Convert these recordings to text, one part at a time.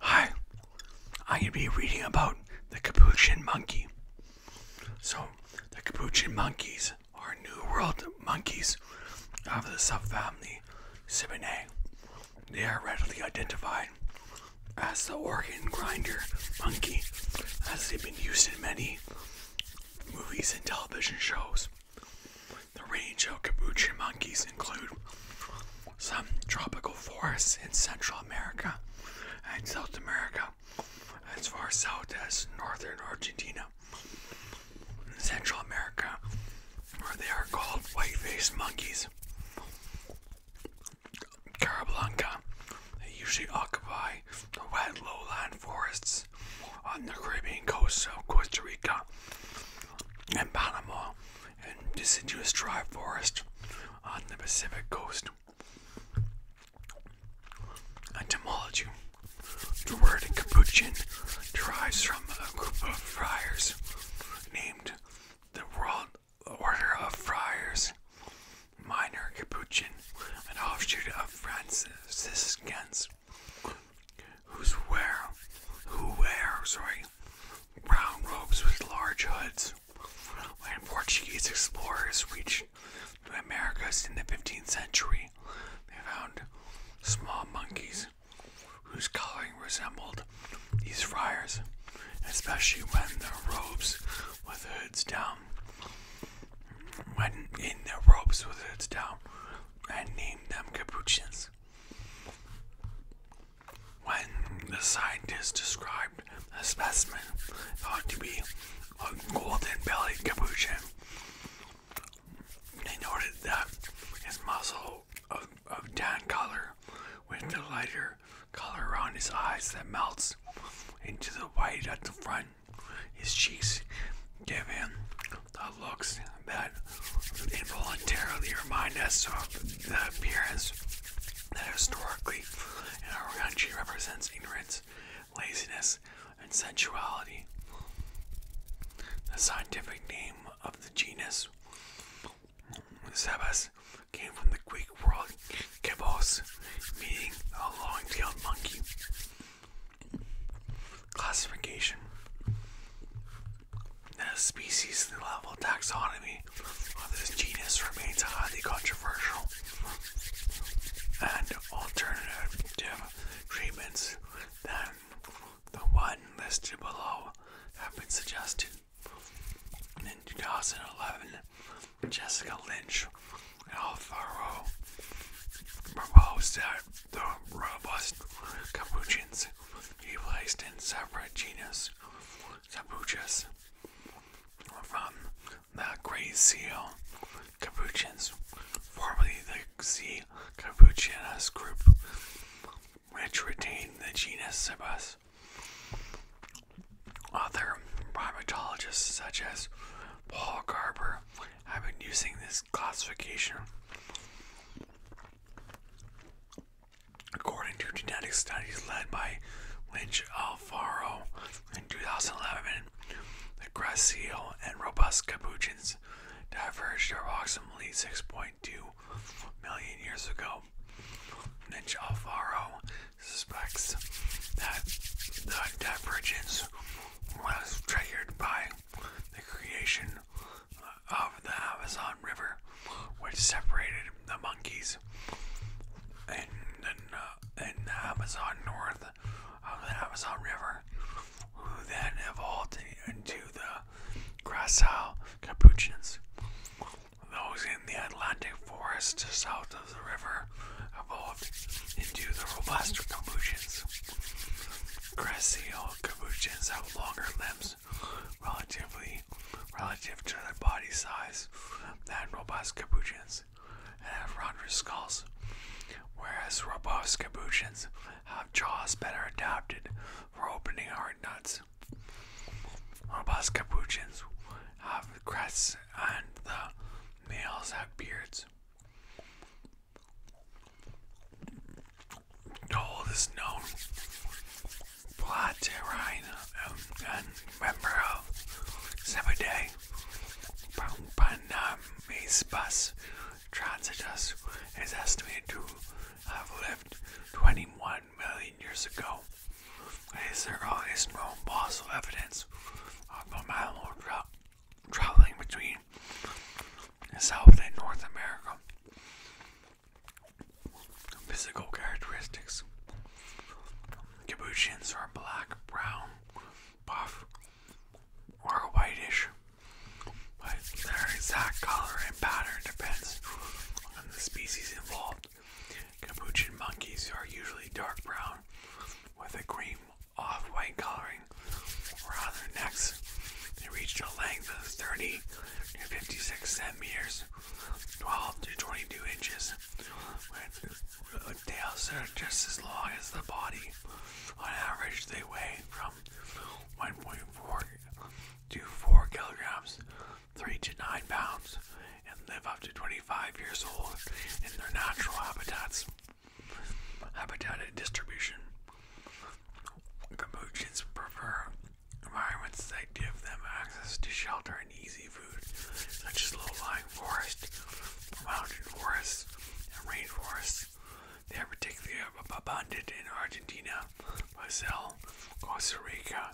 Hi, I'm going to be reading about the capuchin monkey. So, the capuchin monkeys are New World monkeys of the subfamily Cibinae. They are readily identified as the organ grinder monkey, as they've been used in many movies and television shows. The range of capuchin monkeys include some tropical forests in Central America and South America, as far south as northern Argentina. In Central America, where they are called white faced monkeys. Carablanca, they usually occupy the wet lowland forests on the Caribbean coasts of Costa Rica and Panama and deciduous dry forest on the Pacific coast. Etymology. The word Capuchin derives from a group of friars named the World Order of Friars, Minor Capuchin, an offshoot of Franciscans, whose wear, who wear, sorry, brown robes with large hoods. When Portuguese explorers reached the Americas in the 15th century, they found small monkeys whose coloring resembled these friars, especially when their robes with hoods down. When in their robes with hoods down, and named them Capuchins. When the scientist described a specimen thought to be a golden bellied capuchin, they noted that his muzzle of, of tan color with the lighter color around his eyes that melts into the white at the front. His cheeks give him the looks that involuntarily remind us of the appearance that historically in our country represents ignorance, laziness, and sensuality. The scientific name of the genus Sebas came from the Greek word kebos, meaning a long-tailed monkey. Classification the species level taxonomy of this genus remains highly controversial, and alternative treatments than the one listed below have been suggested. in 2011, Jessica Lynch and Alvaro proposed that the robust capuchins he placed in separate genus capuchas from the gray Seal capuchins, formerly the C. capuchinus group, which retained the genus Cebus. Other primatologists such as Paul Garber have been using this classification according to genetic studies led by Lynch Alfaro in 2011. The grass and robust capuchins diverged approximately 6.2 million years ago. Lynch Alfaro suspects that the divergence was triggered by the creation of the Amazon River, which separated the monkeys and, uh, the Amazon north of the Amazon River, who then evolved into the gracile Capuchins. Those in the Atlantic forest south of the river evolved into the robust Capuchins. Gracile capuchins have longer limbs relatively relative to their body size than robust capuchins and have rounder skulls, whereas robust capuchins have jaws better adapted for opening hard nuts. Robust capuchins have crests and the males have beards. Oh, Told is known Platyrrhine um, um, and member of Sebaday um, bus transitus is estimated to have lived 21 million years ago. It is the earliest known fossil evidence of the mammal traveling between South and North America. Physical characteristics Capuchins are black, brown, buff, or whitish, their exact color and pattern depends on the species involved. Capuchin monkeys are usually dark brown with a cream off white coloring on their necks. They reach a length of 30 to 56 centimeters, 12 to 22 inches, Their tails are just as long as the body. On average, they weigh from 1.4 to 4 kilograms, 3 to 9 pounds, and live up to 25 years old in their natural habitats habitat distribution. Capuchins prefer environments that give them access to shelter and easy food, such as low-lying forest, mountain forests, and rainforests. They are particularly abundant in Argentina, Brazil, Costa Rica,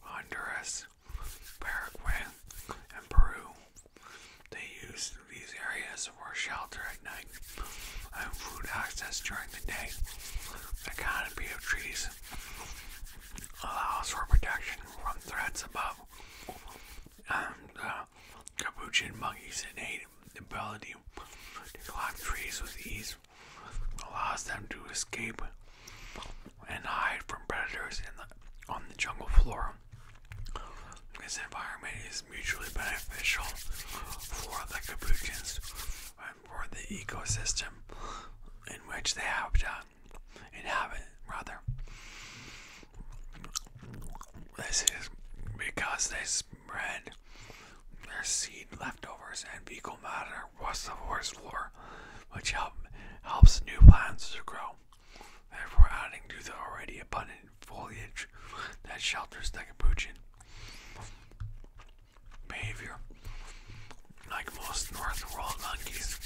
Honduras, Paraguay, and Peru. They used these areas for shelter at night and food access during the day. The canopy of trees allows for protection from threats above, and uh, capuchin monkeys innate ability to climb trees with ease allows them to escape and hide from predators on the jungle floor. This environment is mutually beneficial for the capuchins and for the ecosystem in which they have to inhabit. Rather, this is because they spread their seed leftovers and fecal matter across the forest floor, which help, helps new plants to grow therefore adding to the already abundant foliage that shelters the capuchin. Behavior Like most North World monkeys,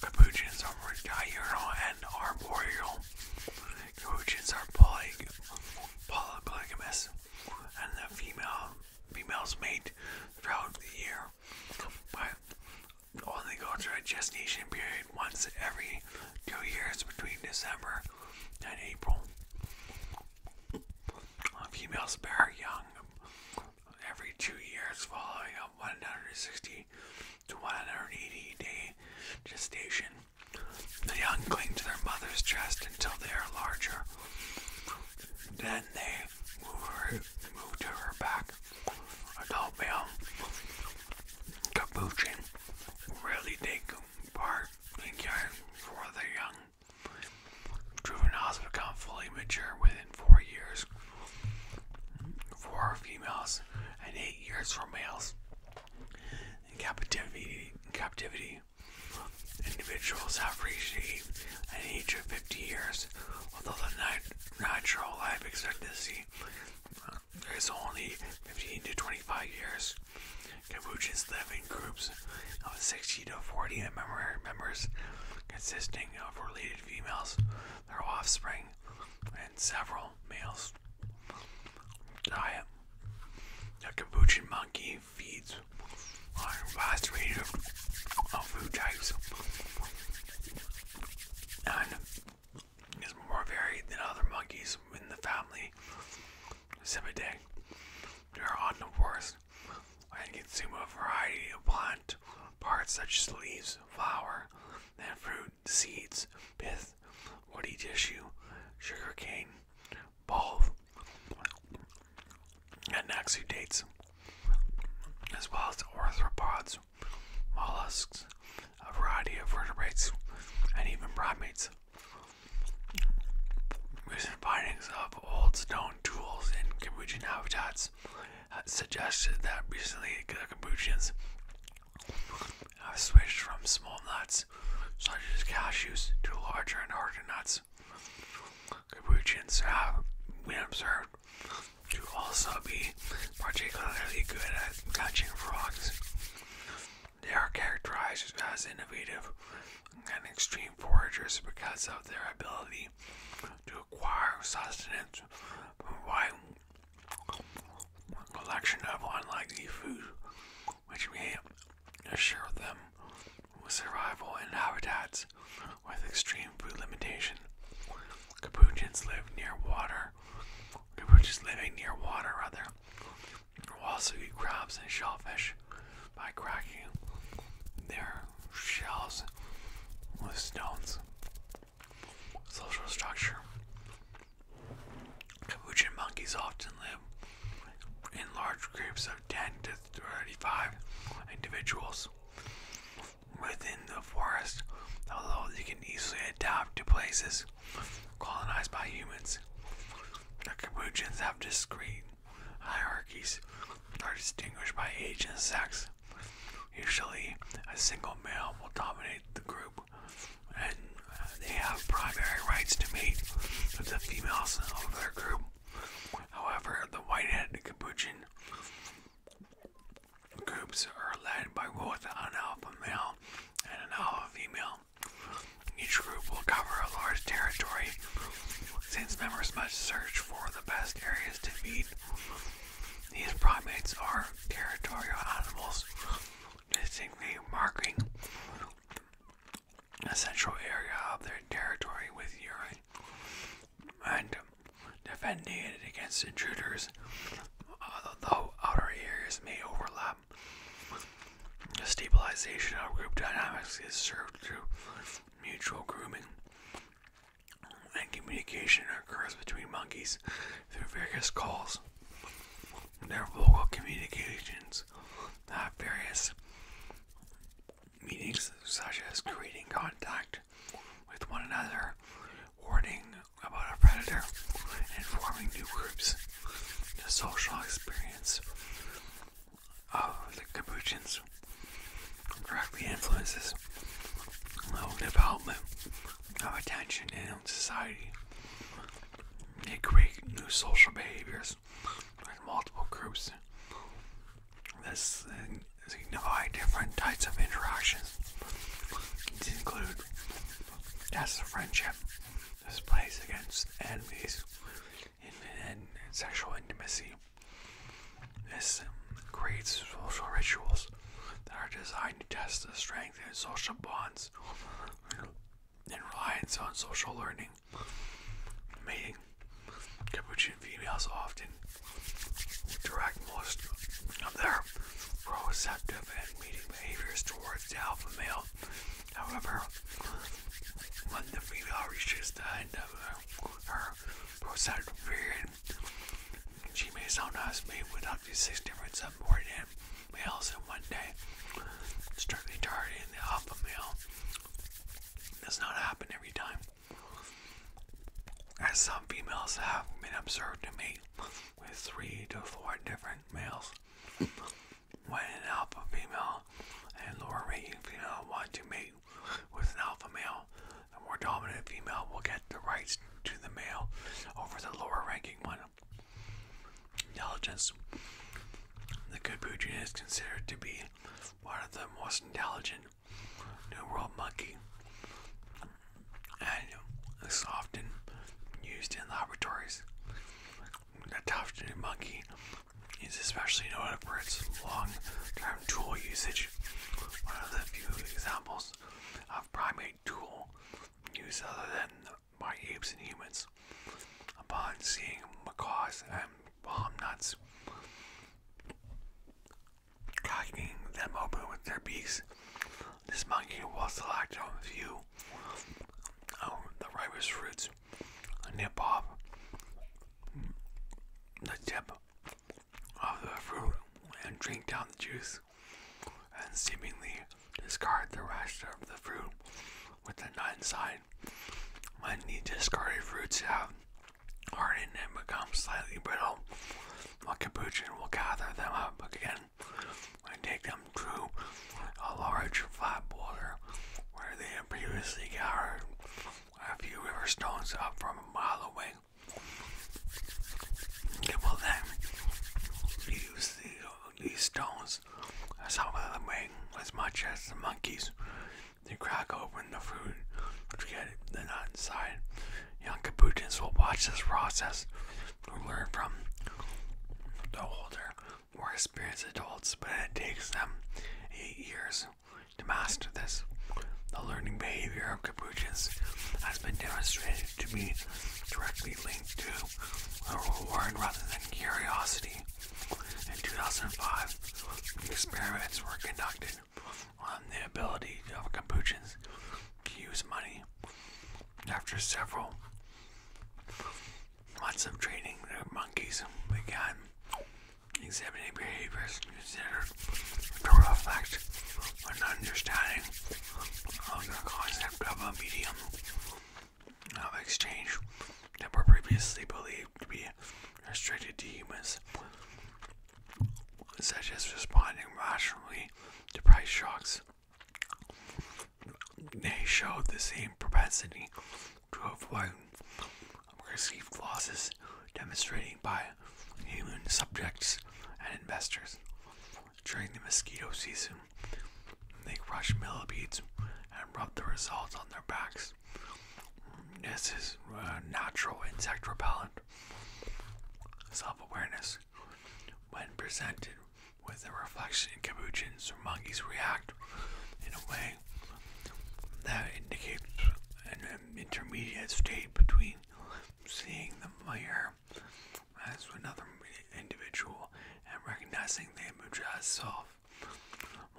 capuchins are diurnal and arboreal. Capuchins are polygamous, and the female females mate throughout the year only go through a gestation period once every two years between December and April. Um, females bear young every two years following a 160 to 180 day gestation. The young cling to their mother's chest until they are larger. Then they move, move to her back adult male capuchin really take part in caring for the young. Juveniles become fully mature within four years for females and eight years for males. In captivity, individuals have reached an age of 50 years, although the natural life expectancy there's only 15 to 25 years. Capuchins live in groups of 60 to 40 member members, consisting of related females, their offspring, and several males. Diet The capuchin monkey feeds on a variety of food types and is more varied than other monkeys in the family Cybidae. They are omnivores and consume a variety of plant parts such as leaves, flower, and fruit, seeds, pith, woody tissue, sugar cane, bulb, and exudates, as well as arthropods, mollusks, a variety of vertebrates, and even primates. Recent findings of old stone tools in Cambodian habitats suggested that recently the Cambodians have switched from small nuts, such as cashews, to larger and harder nuts. Cambodians have been observed to also be particularly good at catching frogs. They are characterized as innovative and extreme foragers because of their ability to acquire sustenance from a wide collection of unlikely food, which may assure them survival in habitats with extreme food limitation. Capuchins live near water. We're just living near water, rather, will also eat crabs and shellfish by cracking their shells with stones. Social structure. Capuchin monkeys often live in large groups of 10 to 35 individuals within the forest, although they can easily adapt to places colonized by humans. The Capuchins have discrete hierarchies are distinguished by age and sex. Usually, a single male will dominate the group, and they have primary rights to mate with the females of their group. However, the white-headed capuchin Groups are led by both an alpha male and an alpha female. Each group will cover a large territory since members must search for the best areas to feed. These primates are territorial animals, distinctly marking a central area of their territory with urine and defending it against intruders, although outer areas may overlap. The stabilization of group dynamics is served through mutual grooming, and communication occurs between monkeys through various calls. Their vocal communications have various meanings, such as greeting contact, with one another, warning about a predator, and forming new groups. The social experience of the Capuchins directly influences the development of attention in society. They create new social behaviors in multiple groups this signify different types of interactions. These include tests of friendship, displays against enemies, and sexual intimacy. This um, creates social rituals that are designed to test the strength of social bonds and reliance on social learning, mating, Capuchin females often direct most of their proceptive and mating behaviors towards the alpha male. However, when the female reaches the end of her proceptive period, she may sometimes mate with up to six different subordinate males in one day, strictly targeting alpha male. does not happen every time as some females have been observed to mate with three to four different males. When an alpha female and lower ranking female want to mate with an alpha male, the more dominant female will get the rights to the male over the lower ranking one. Intelligence The Capuchin is considered to be one of the most intelligent New World monkey, and it's often used in laboratories. The tufted monkey is especially noted for its long-term tool usage. One of the few examples of primate tool use other than by apes and humans. Upon seeing macaws and while nuts, cocking them open with their beaks. This monkey will oh, select a few of the ripest fruits, nip off the tip of the fruit, and drink down the juice, and seemingly discard the rest of the fruit with the non-side. When the discarded fruits have hardened and become slightly brittle, a capuchin will gather them up again and take them to a large flat boulder where they had previously gathered a few river stones up from a mile away. They will then use these stones, some of them as much as the monkeys they crack open the food to get the nut inside. Young Capuchins will watch this process to learn from the older, more experienced adults, but it takes them eight years to master this. The learning behavior of capuchins has been demonstrated to be directly linked to a reward rather than curiosity. In 2005, experiments were conducted on the ability of Capuchins to use money. After several months of training, the monkeys began exhibiting behaviors considered to reflect an understanding of the concept of a medium of exchange that were previously believed to be restricted to humans, such as responding rationally to price shocks. They showed the same propensity to avoid perceived losses, demonstrating by human subjects and investors. During the mosquito season, they crush millipedes and rub the results on their backs. This is uh, natural insect repellent. Self awareness. When presented with a reflection in capuchins or monkeys, react in a way that indicates an intermediate state between seeing the mirror as another individual and recognizing the image as self.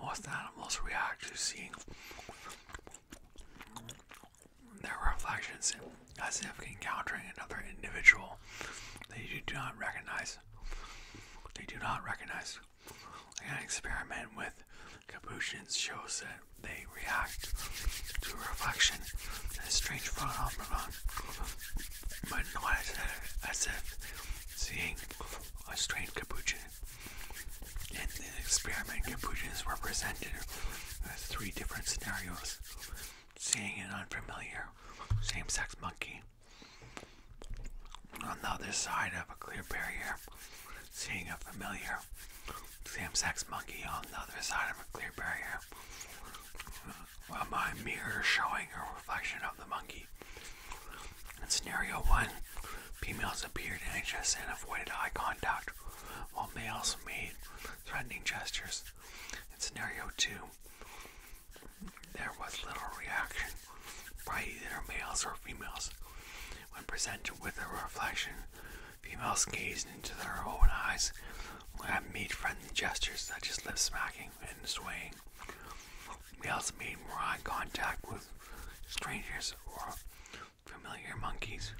Most animals react to seeing their reflections as if encountering another individual they do not recognize. They do not recognize. An experiment with capuchins shows that they react to reflection in a strange phenomenon, but not as as if seeing a strange capuchin in the experiment, Capuchins were presented with uh, three different scenarios seeing an unfamiliar same sex monkey on the other side of a clear barrier, seeing a familiar same sex monkey on the other side of a clear barrier. Well, uh, my mirror showing her in scenario 1, females appeared anxious and avoided eye contact, while males made threatening gestures. In scenario 2, there was little reaction by either males or females. When presented with a reflection, females gazed into their own eyes and made friendly gestures such as lip smacking and swaying. Males made more eye contact with strangers or familiar monkeys,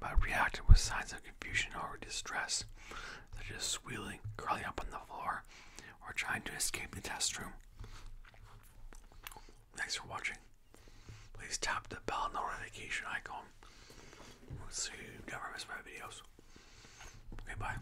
but reacted with signs of confusion or distress, such as squealing, curling up on the floor, or trying to escape the test room. Thanks for watching. Please tap the bell notification icon so you never miss my videos. Okay,